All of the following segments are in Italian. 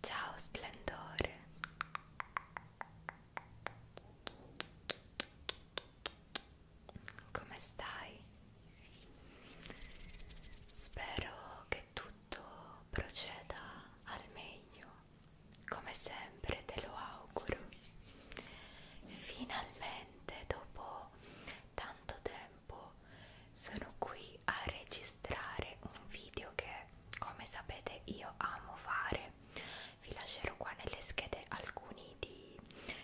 Ciao splendore. Come stai? Spero che tutto proceda al meglio. Come sempre te lo auguro. Finalmente dopo tanto tempo tempo sono qui a registrare un video che come sapete io amo fare vi lascerò qua nelle schede alcuni di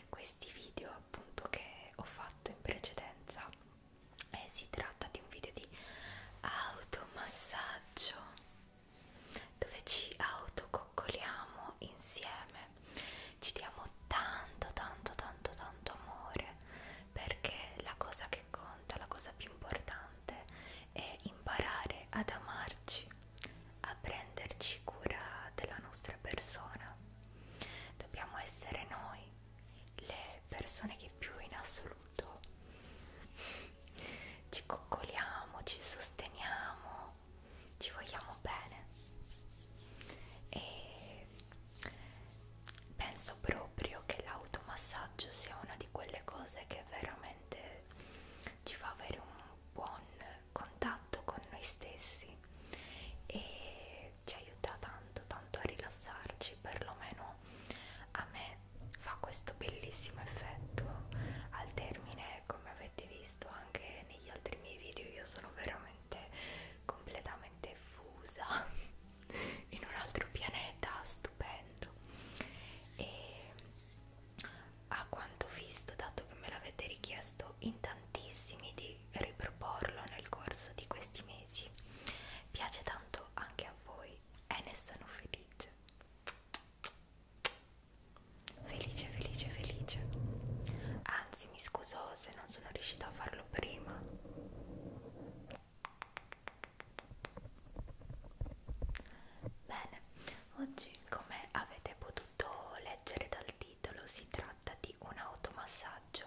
questi video appunto che ho fatto in precedenza e eh, si tratta di un video di automassaggio dove ci autococcoliamo insieme ci diamo tanto tanto tanto tanto amore perché la cosa che conta conta, la cosa più importante è imparare ad amarci, a prenderci cura della nostra persona. Dobbiamo essere noi le persone che più in assoluto ci coccoliamo, ci sosteniamo, ci vogliamo bene. E penso proprio che l'automassaggio sia una di quelle cose che veramente ci fa avere un buon contatto con noi stessi e ci aiuta tanto tanto a rilassarci perlomeno a me fa questo bellissimo effetto al termine come avete visto anche negli altri miei video io sono veramente completamente fusa in un altro pianeta stupendo e a quanto visto dato che me l'avete richiesto in tantissimi di riproporlo nel corso di questi mesi piace tanto anche a voi e ne sono felice felice felice felice anzi mi scuso se non sono riuscita a farlo prima Bene, oggi come avete potuto leggere dal titolo si tratta di un automassaggio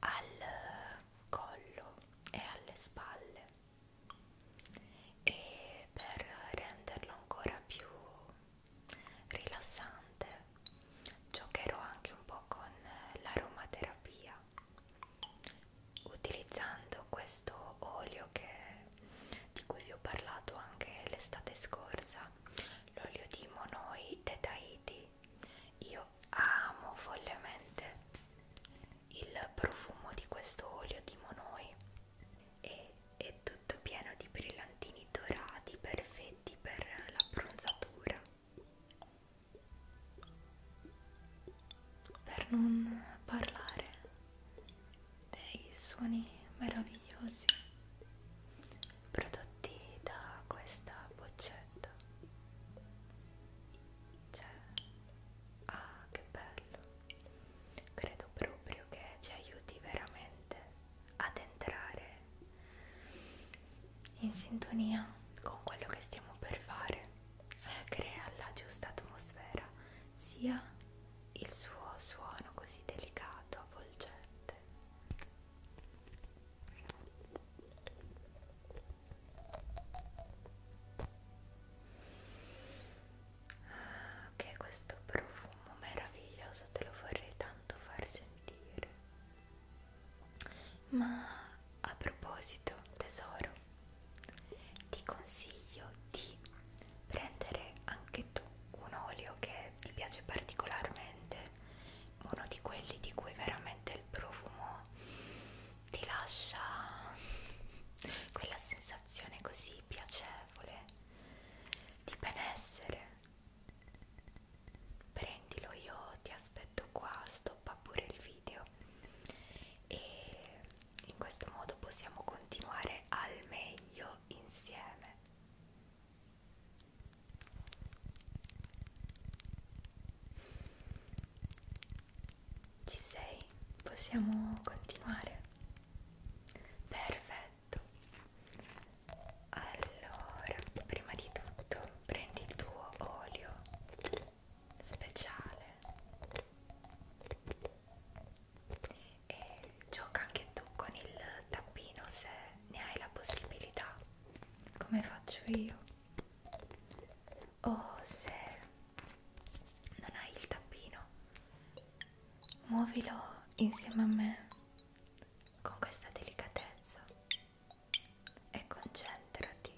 al eh, collo e alle spalle e per renderlo ancora più rilassante giocherò anche un po' con l'aromaterapia utilizzando questo olio che, di cui vi ho parlato anche l'estate scorsa l'olio di Monoi de Tahiti io amo follemente il profumo di questo olio di Monoi e è tutto pieno di brillantini dorati perfetti per l'abbronzatura per non parlare dei suoni meravigliosi prodotti da questa boccetta cioè ah che bello credo proprio che ci aiuti veramente ad entrare in sintonia con quello che stiamo per fare crea la giusta atmosfera sia il suo suono così delicato avvolgente che ah, questo profumo meraviglioso te lo vorrei tanto far sentire ma a proposito, tesoro, ti consiglio di prendere anche tu un olio che ti piace particolarmente, uno di quelli di cui veramente il profumo ti lascia quella sensazione così piacevole di benessere prendilo io ti aspetto qua stoppa pure il video e in questo modo possiamo continuare al meglio insieme ci sei? possiamo continuare? perfetto allora, prima di tutto prendi il tuo olio speciale e gioca anche tu con il tappino se ne hai la possibilità, come faccio io. O se non hai il tappino, muovilo insieme a me con questa delicatezza e concentrati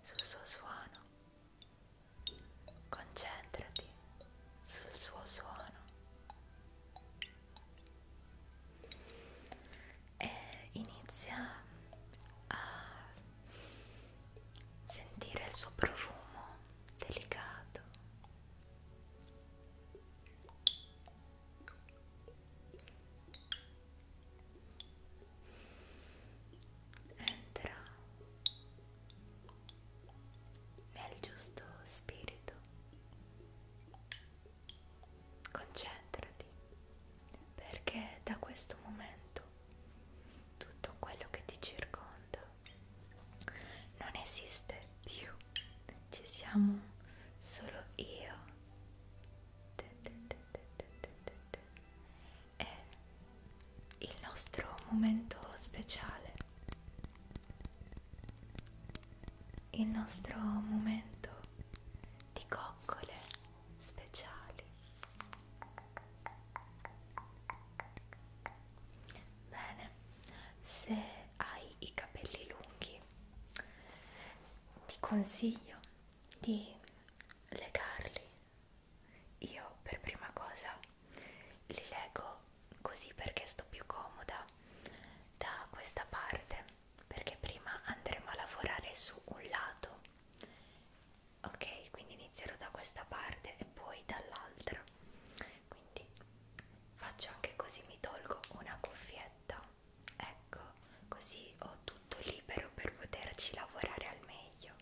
sul suo suono, concentrati sul suo suono e inizia a sentire il suo profumo delicato entra nel giusto spirito concentrati perché da questo momento tutto quello che ti circonda non esiste più ci siamo solo io è il nostro momento speciale il nostro momento di coccole speciali bene se hai i capelli lunghi ti consiglio di legarli. Io per prima cosa li leggo così perché sto più comoda da questa parte, perché prima andremo a lavorare su un lato. Ok, quindi inizierò da questa parte e poi dall'altra. Quindi faccio anche così mi tolgo una cuffietta ecco così ho tutto libero per poterci lavorare al meglio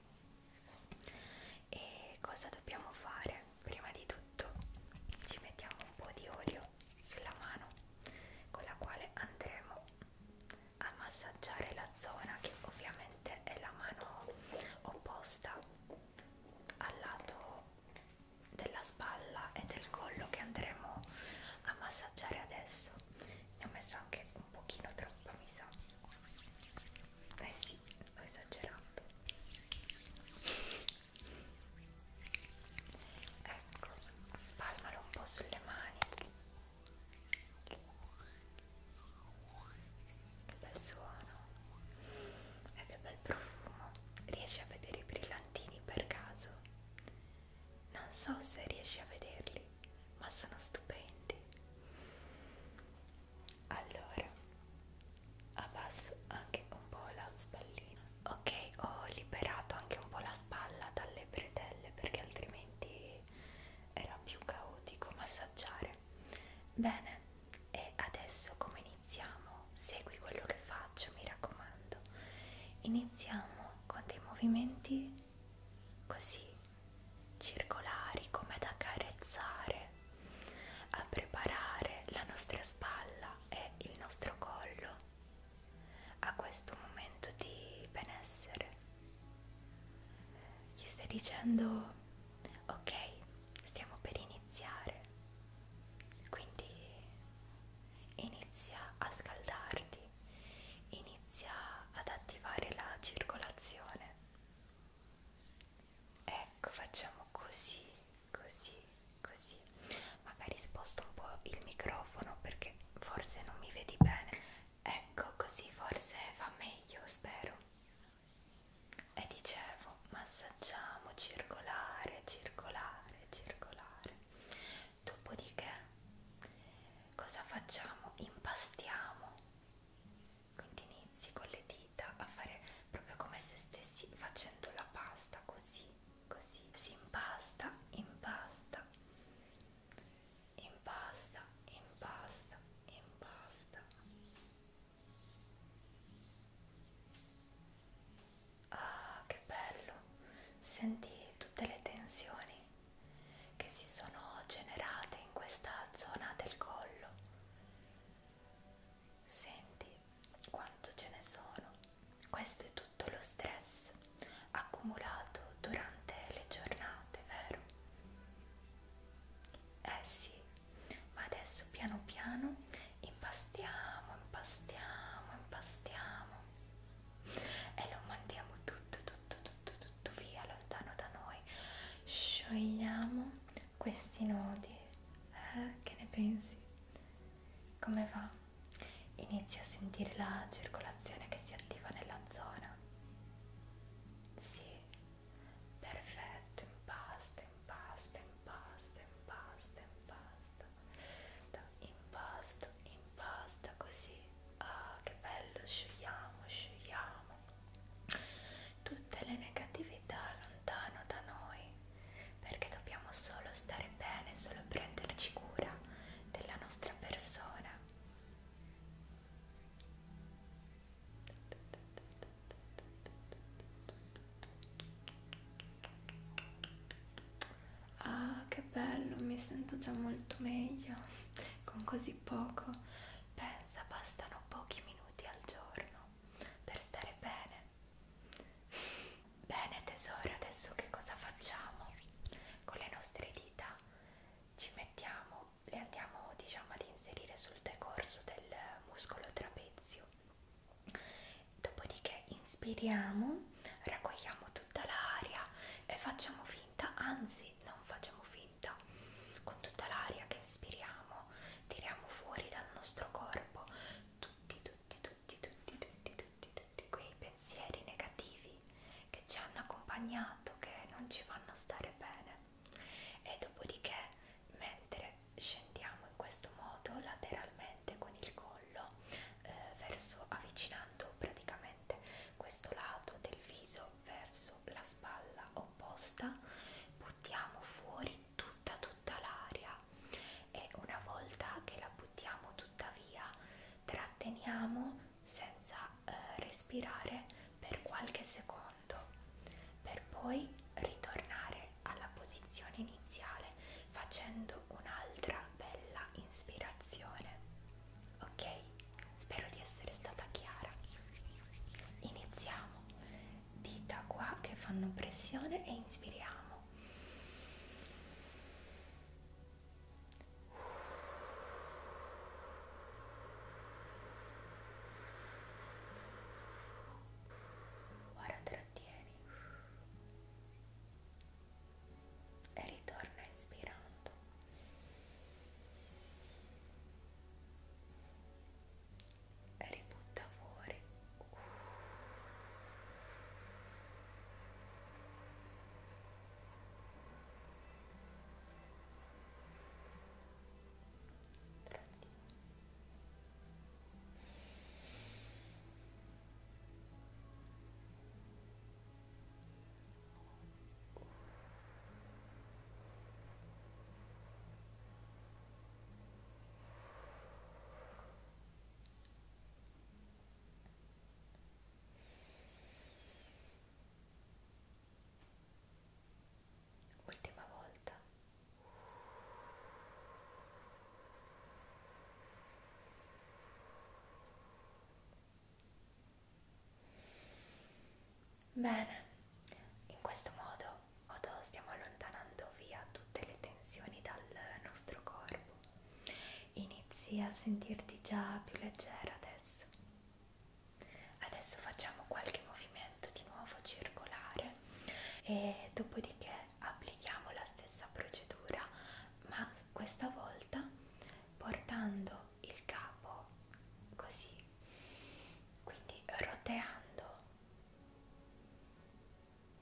e cosa dobbiamo fare prima di tutto ci mettiamo un po di olio sulla mano con la quale andremo a massaggiare la zona che ovviamente è la mano opposta al lato della spalla e del collo che andremo a massaggiare adesso ne ho messo anche un pochino troppa mi sa eh sì ho esagerato ecco spalmalo un po' sulle mani che bel suono e eh, che bel profumo riesci a vedere i brillantini per caso non so se riesci a vederli, ma sono stupendi. Allora, abbasso anche un po' la spallina. Ok, ho liberato anche un po' la spalla dalle bretelle perché altrimenti era più caotico massaggiare. Bene, e adesso come iniziamo? Segui quello che faccio faccio, mi raccomando. Iniziamo con dei movimenti così circolari come ad accarezzare, a preparare la nostra spalla e il nostro collo a questo momento di benessere. Gli stai dicendo ok, stiamo per iniziare. Quindi inizia a scaldarti, inizia ad attivare la circolazione. Ecco, facciamo così, così, così. Magari sposto un po' il microfono perché forse non mi vedi bene. Ecco, così forse va meglio, spero. E dicevo, massaggiamo circolare, circolare, circolare dopodiché cosa facciamo? Impastiamo, quindi inizi con le dita a fare proprio come se stessi facendo la pasta, così, così, si impasta, impasta, impasta, impasta, impasta. Ah, che bello! Senti tutte le tensioni che si sono generate in questa zona del collo. Senti quanto ce ne sono. Questo è tutto lo stress accumulato durante le giornate, vero? Eh sì, ma adesso piano piano impastiamo, impastiamo, impastiamo e lo mandiamo tutto, tutto, tutto, tutto via lontano da noi. Sciogliamo questi nodi. Eh, che ne pensi? Come va? Inizia a sentire la circolazione che si attiva nella zona. Sì, perfetto, impasta, impasta, impasta, impasta, impasta impasta, impasta così, ah che bello, sciogliamo, sciogliamo tutte le negatività lontano da noi perché dobbiamo solo stare bene, solo prenderci cura della nostra persona. Ah, che bello, mi sento già molto meglio con così poco. Pensa, bastano pochi minuti al giorno per stare bene. Bene tesoro, adesso che cosa facciamo? Con le nostre dita ci mettiamo, le andiamo diciamo ad inserire sul decorso del muscolo trapezio Dopodiché inspiriamo, raccogliamo tutta l'aria e facciamo finta, anzi non facciamo finta, con tutta l'aria che inspiriamo tiriamo fuori dal nostro corpo tutti, tutti, tutti, tutti, tutti, tutti, tutti quei pensieri negativi che ci hanno accompagnato, che non ci fanno stare bene. E dopodiché, mentre scendiamo in questo modo lateralmente con il collo eh, verso avvicinando praticamente questo lato del viso verso la spalla opposta buttiamo fuori tutta tutta l'aria e una volta che la buttiamo tutta via tratteniamo senza eh, respirare per qualche secondo per poi ritornare tornare alla posizione iniziale facendo un'altra bella inspirazione. Ok? Spero di essere stata chiara. Iniziamo. Dita qua che fanno pressione e inspiriamo. Guarda trattieni e ritorna inspirando e ributta fuori tratti Ultima volta Bene, in questo modo stiamo allontanando via tutte le tensioni dal nostro corpo. Inizi a sentirti già più leggera adesso. Adesso facciamo qualche movimento di nuovo circolare e dopodiché applichiamo la stessa procedura ma questa volta portando il capo così quindi roteando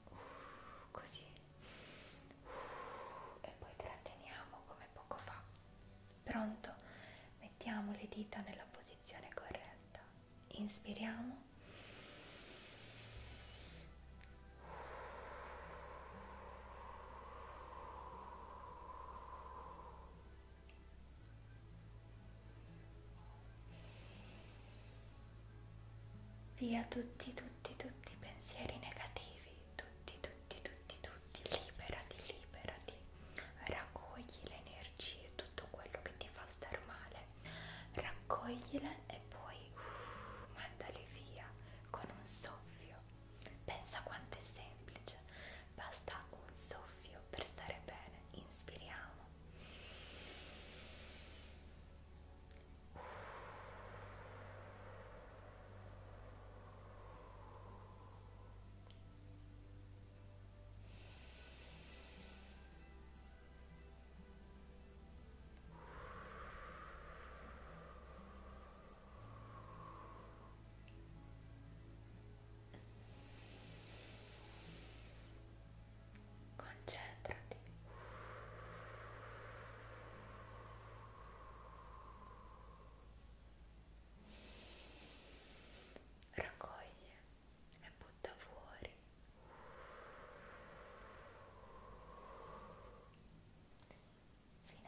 uh, così uh, e poi tratteniamo come poco fa pronto mettiamo le dita nella posizione corretta inspiriamo Via tutti, tutti, tutti i pensieri negativi, tutti, tutti, tutti, tutti, liberati, liberati, raccogli le energie, tutto quello che ti fa star male, raccoglile e poi uh, mandali via con un soffio. Pensa quanto è semplice, basta un soffio per stare bene. Inspiriamo. Uh. Concentrati. Raccoglie e butta fuori fino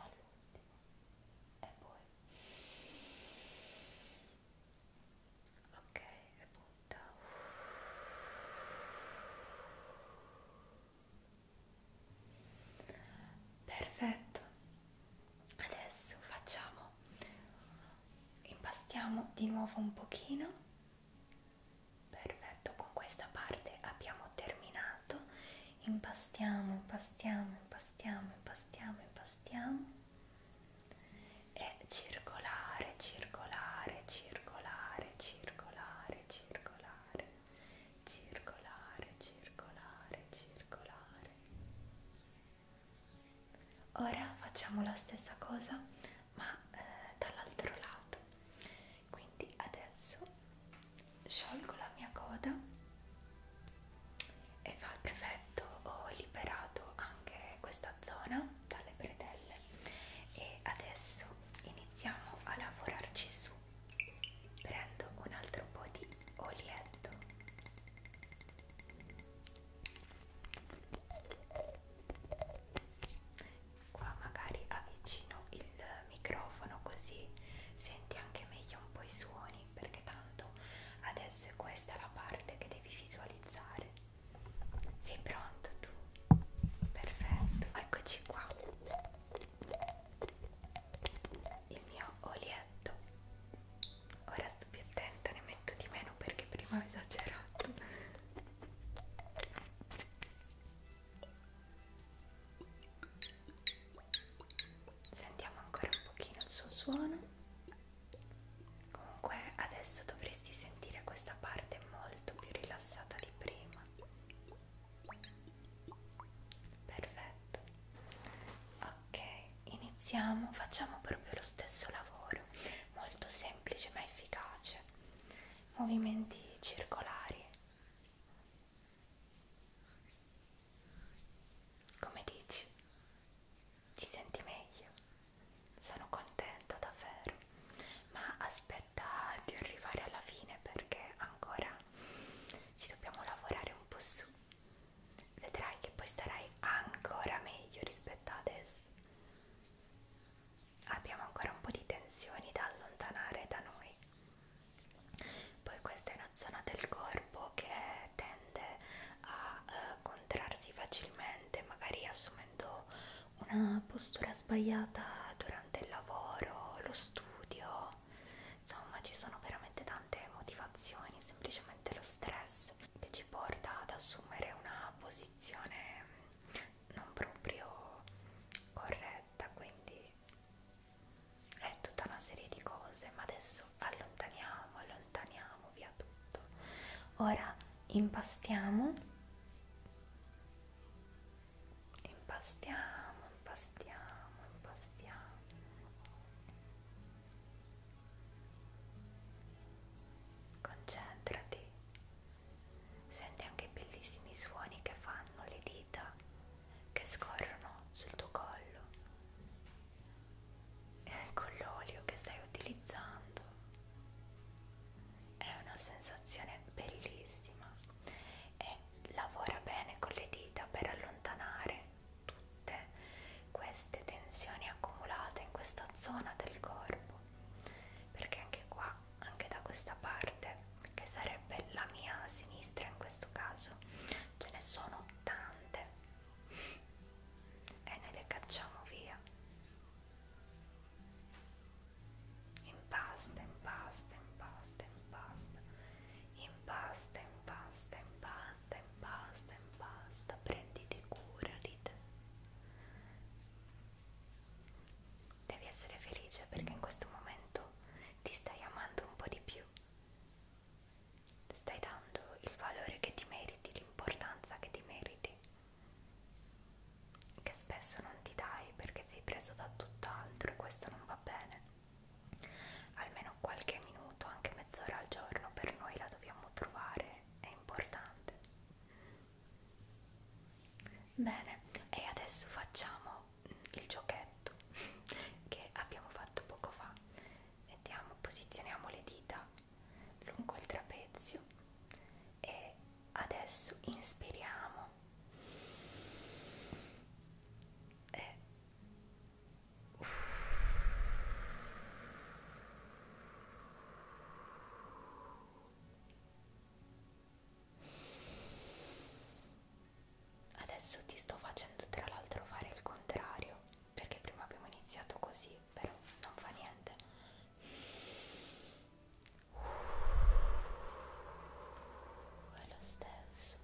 all'ultimo e poi ok e butta perfetto adesso facciamo impastiamo di nuovo un pochino perfetto con questa parte abbiamo terminato impastiamo impastiamo impastiamo impastiamo impastiamo e circolare circolare circolare circolare circolare circolare circolare circolare ora facciamo la stessa cosa ma eh, dall'altro lato quindi adesso sciolgo la mia coda e fa il perfetto ho liberato anche questa zona dalle bretelle e adesso iniziamo a lavorarci su prendo un altro po' di olietto qua magari avvicino il microfono così senti anche meglio un po' i suoni perché tanto adesso è questa la parte che devi visualizzare sei pronto tu? perfetto eccoci qua il mio olietto ora sto più attenta ne metto di meno perché prima ho esagerato Sentiamo ancora un pochino il suo suono. Comunque adesso dovresti sentire questa parte molto più rilassata di prima. Perfetto. Ok, iniziamo, facciamo proprio lo stesso lavoro, molto semplice ma efficace movimenti circolari come dici ti senti meglio sono contenta davvero ma aspetta di arrivare alla fine perché ancora ci dobbiamo lavorare un po' su vedrai che poi starai ancora meglio rispetto a adesso abbiamo ancora un po' di tensioni da allontanare da noi. Poi questa è una zona del corpo che tende a eh, contrarsi facilmente, magari assumendo una postura sbagliata durante il lavoro, lo studio, insomma ci sono veramente tante motivazioni, semplicemente lo stress che ci porta ad assumere una posizione non proprio corretta, quindi è tutta una serie di cose, ma adesso allontaniamo, allontaniamo via tutto. Ora impastiamo, impastiamo, impastiamo, impastiamo. Concentrati Senti anche i bellissimi suoni che fanno le dita che scorrono sul tuo collo con l'olio che stai utilizzando. È una sensazione bellissima e lavora bene con le dita per allontanare tutte queste tensioni accumulate in questa zona del corpo perché anche qua, anche da questa parte che sarebbe la mia sinistra in questo caso ce ne sono tante e noi le cacciamo via impasta, impasta, impasta, impasta impasta, impasta, impasta, impasta, impasta prenditi cura di te Devi essere felice perché in questo momento ti stai amando un po' di più. Stai dando il valore che ti meriti, l'importanza che ti meriti, che spesso non ti dai perché sei preso da tutt'altro e questo non va bene. Almeno qualche minuto, anche mezz'ora al giorno, per noi la dobbiamo trovare, è importante. Bene, e adesso facciamo il giochetto che abbiamo fatto poco fa. Mettiamo, posizioniamo le dita lungo il trapezio e adesso inspiriamo e Adesso ti sto facendo tra l'altro fare il contrario, perché prima abbiamo iniziato così, però non fa niente. Uh, è lo stesso.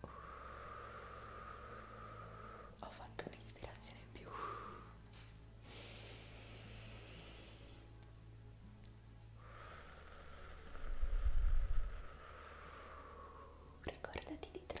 Uh, ho fatto un'ispirazione in più. Ricordati di trattenere.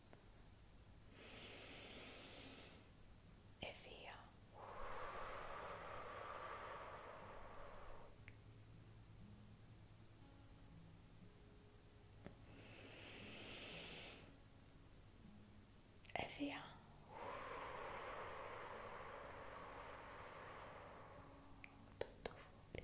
e via e via tutto fuori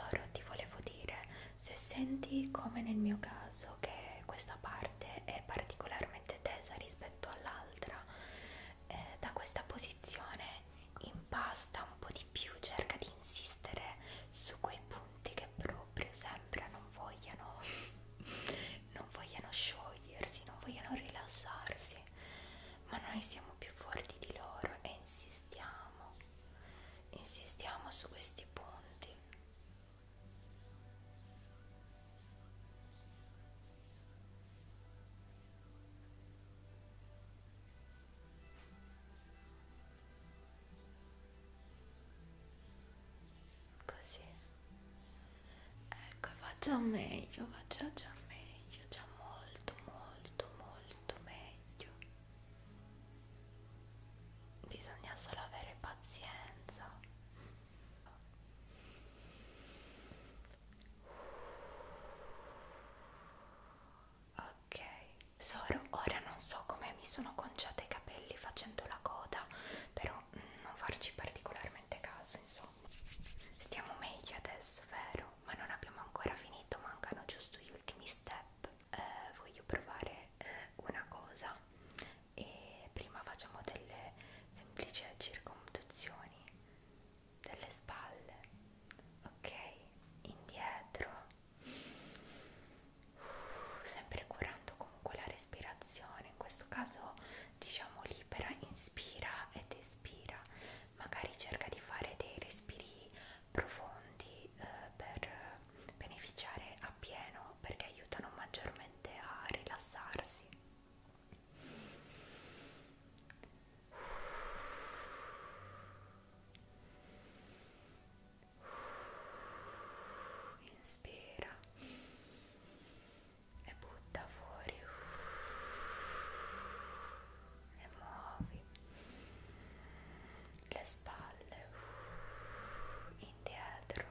Loro ti volevo dire, se senti come nel mio caso che questa parte è particolarmente tesa rispetto all'altra, eh, da questa posizione impasta un po' di più, cerca di insistere su quei punti che proprio sembra non vogliano, non vogliano sciogliersi, non vogliano rilassarsi forti, ma noi siamo più forti di loro e insistiamo, insistiamo su questi punti. Così ecco va già meglio va già già meglio già molto molto molto meglio bisogna solo avere pazienza ok tesoro ora non so come mi sono conciata i capelli facendo la coda però mh, non farci particolarmente caso insomma Stiamo meglio adesso, vero? Ma non abbiamo ancora finito, mancano giusto gli ultimi step. Eh, voglio provare eh, una cosa e prima facciamo delle semplici circonduzioni delle spalle. Ok, indietro. Uh, sempre curando comunque la respirazione, in questo caso diciamo libera, inspira ed espira respira, magari cerca di fare dei respiri profondi eh, per beneficiare appieno perché aiutano maggiormente a rilassarsi. Inspira e butta fuori e muovi le spalle indietro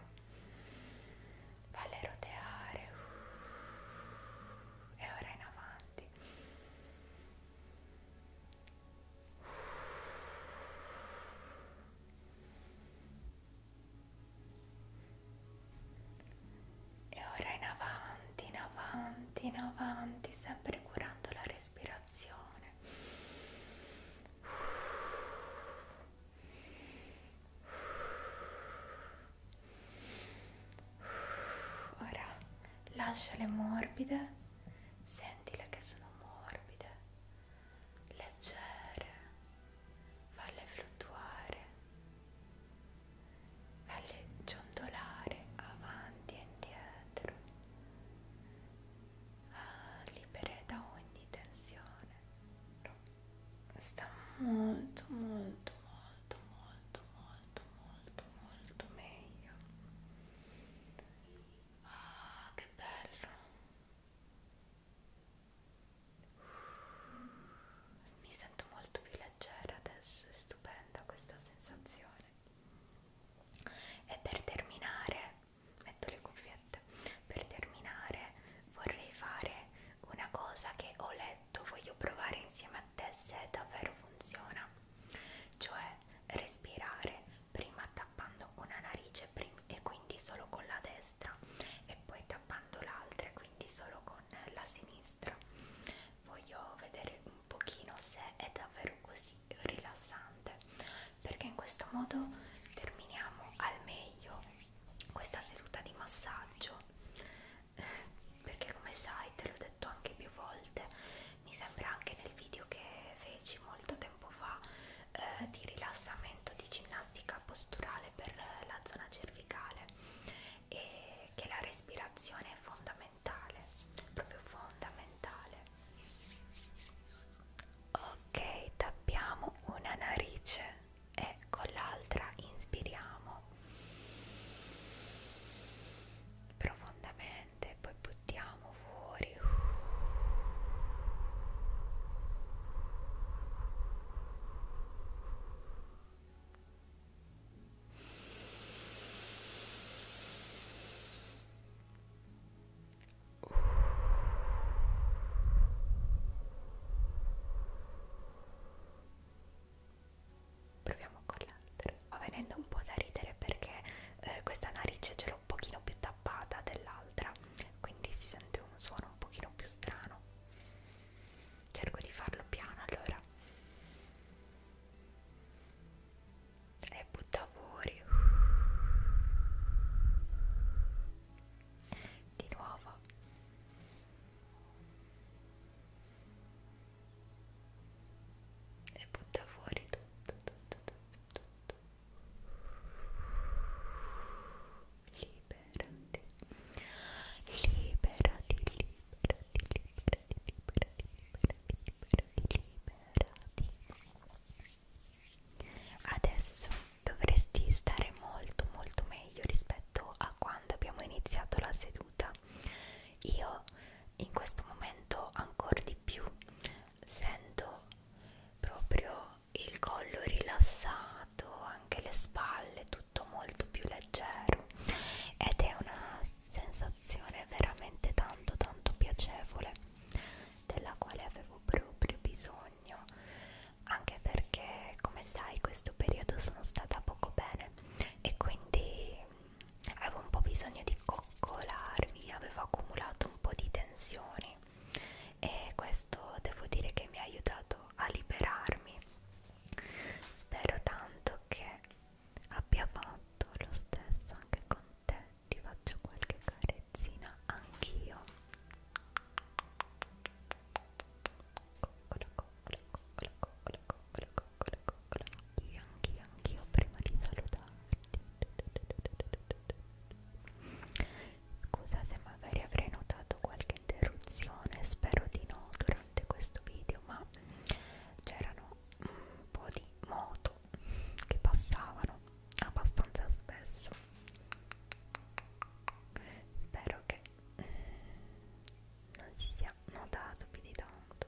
falle roteare e ora in avanti e ora in avanti, in avanti, in avanti, sempre curando la respirazione. Ora lasciale morbide, sentile che sono morbide, leggere falle fluttuare, falle ciondolare avanti e indietro, ah, libere da ogni tensione. Sta molto, molto, molto, molto, molto, molto, molto meglio. Ah, che bello! Mi sento molto più leggera adesso, è stupenda questa sensazione. E per terminare, metto le cuffiette, per terminare vorrei fare una cosa che ho letto, voglio provare insieme a te se davvero funziona, cioè respirare prima tappando una narice e quindi solo con la destra destra e poi tappando l'altra quindi solo con la sinistra voglio vedere un pochino se è davvero così rilassante perché in questo modo terminiamo al meglio questa seduta di massaggio perché come sai te l'ho detto anche più volte mi sembra anche nel video che feci molto tempo fa eh, di rilassamento di ginnastica posturale per la zona cervicale e che la respirazione è fondamentale, proprio fondamentale. Ok, tappiamo una narice e con l'altra inspiriamo profondamente, poi buttiamo fuori. Proviamo con l'altro. Va venendo un po' da ridere perché eh, questa narice ce l'ho un pochino più tappata dell'altra, quindi si sente un suono un pochino più strano cerco di farlo piano allora e butta fuori di nuovo e butta fuori tutto tutto tutto tutto libero liberati, liberati, liberati, liberati, liberati, liberati, liberati, Adesso dovresti stare molto molto meglio rispetto a quando abbiamo iniziato la seduta. Io in questo momento ancora di più sento proprio il collo rilassato anche le spalle, tutto molto più leggero ed è una sensazione veramente tanto tanto piacevole della quale avevo proprio bisogno anche perché come sai questo periodo sono stata poco bene e quindi avevo un po' bisogno di coccolarmi avevo accumulato un po' di tensioni e questo devo dire che mi ha aiutato a liberarmi Spero tanto che abbia fatto lo stesso anche con te. Ti faccio qualche carezzina anch'io. Coccola, coccola, coccola, coccola, coccola, coccola, coccola. Anch'io, anch'io, anch'io prima di salutarti. Scusate, magari avrei notato qualche interruzione, spero di no durante questo video, ma c'erano un po' di moto che passavano abbastanza spesso. Spero che non si sia notato più di tanto.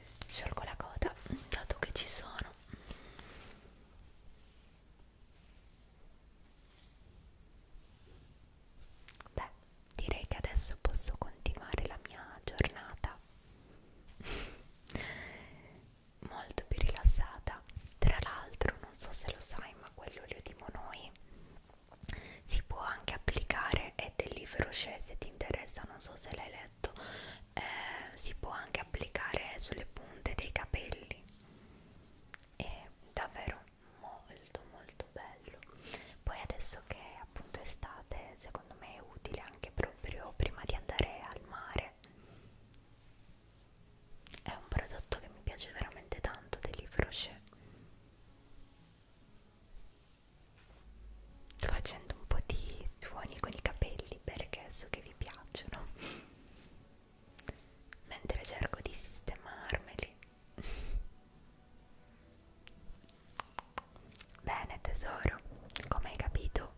sciolgo la coda dato che ci sono beh direi che adesso posso continuare la mia giornata molto più rilassata tra l'altro non so se lo sai ma quell'olio di monoi si può anche applicare ed è lì feroce se ti interessa non so se l'hai letto perfetto eh, si può anche applicare sulle punte dei capelli è davvero molto molto bello poi adesso che appunto è estate secondo me è utile anche proprio prima di andare al mare è un prodotto che mi piace veramente tanto dell'Ifroche sto facendo un po' di suoni con i capelli perché so che vi piacciono mentre cerco di sistemarmeli bene tesoro come hai capito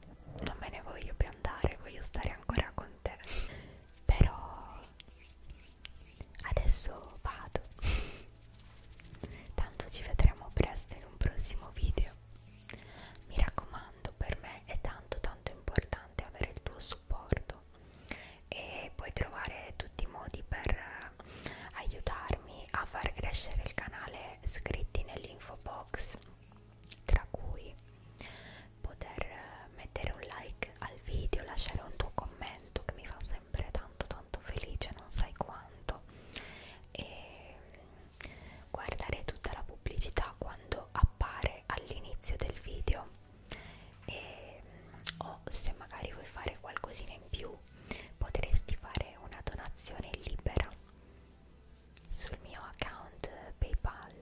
non me ne voglio più andare voglio stare ancora con te però adesso vado tanto ci vedremo presto in un prossimo video mi raccomando, per me è tanto tanto importante avere il tuo supporto e puoi trovare tutti i modi per eh, aiutarmi a far crescere il canale scritti nell'info box, tra cui poter eh, mettere un like al video, lasciare un tuo commento che mi fa sempre tanto tanto felice, non sai quanto e guardare tutta la pubblicità quando appare all'inizio del video e, o se magari vuoi fare qualcosina in più potresti fare una donazione libera sul mio account PayPal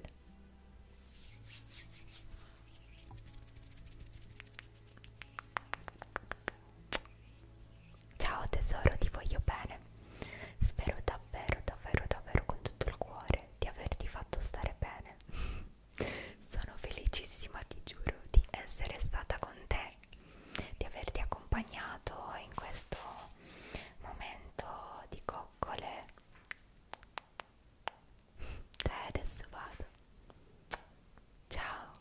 Ciao tesoro, ti voglio bene. Spero davvero, davvero, davvero con tutto il cuore di averti fatto stare bene. Sono felicissima, ti giuro, di essere stata con te, di averti accompagnato in questo momento di coccole. Dai, adesso vado. Ciao.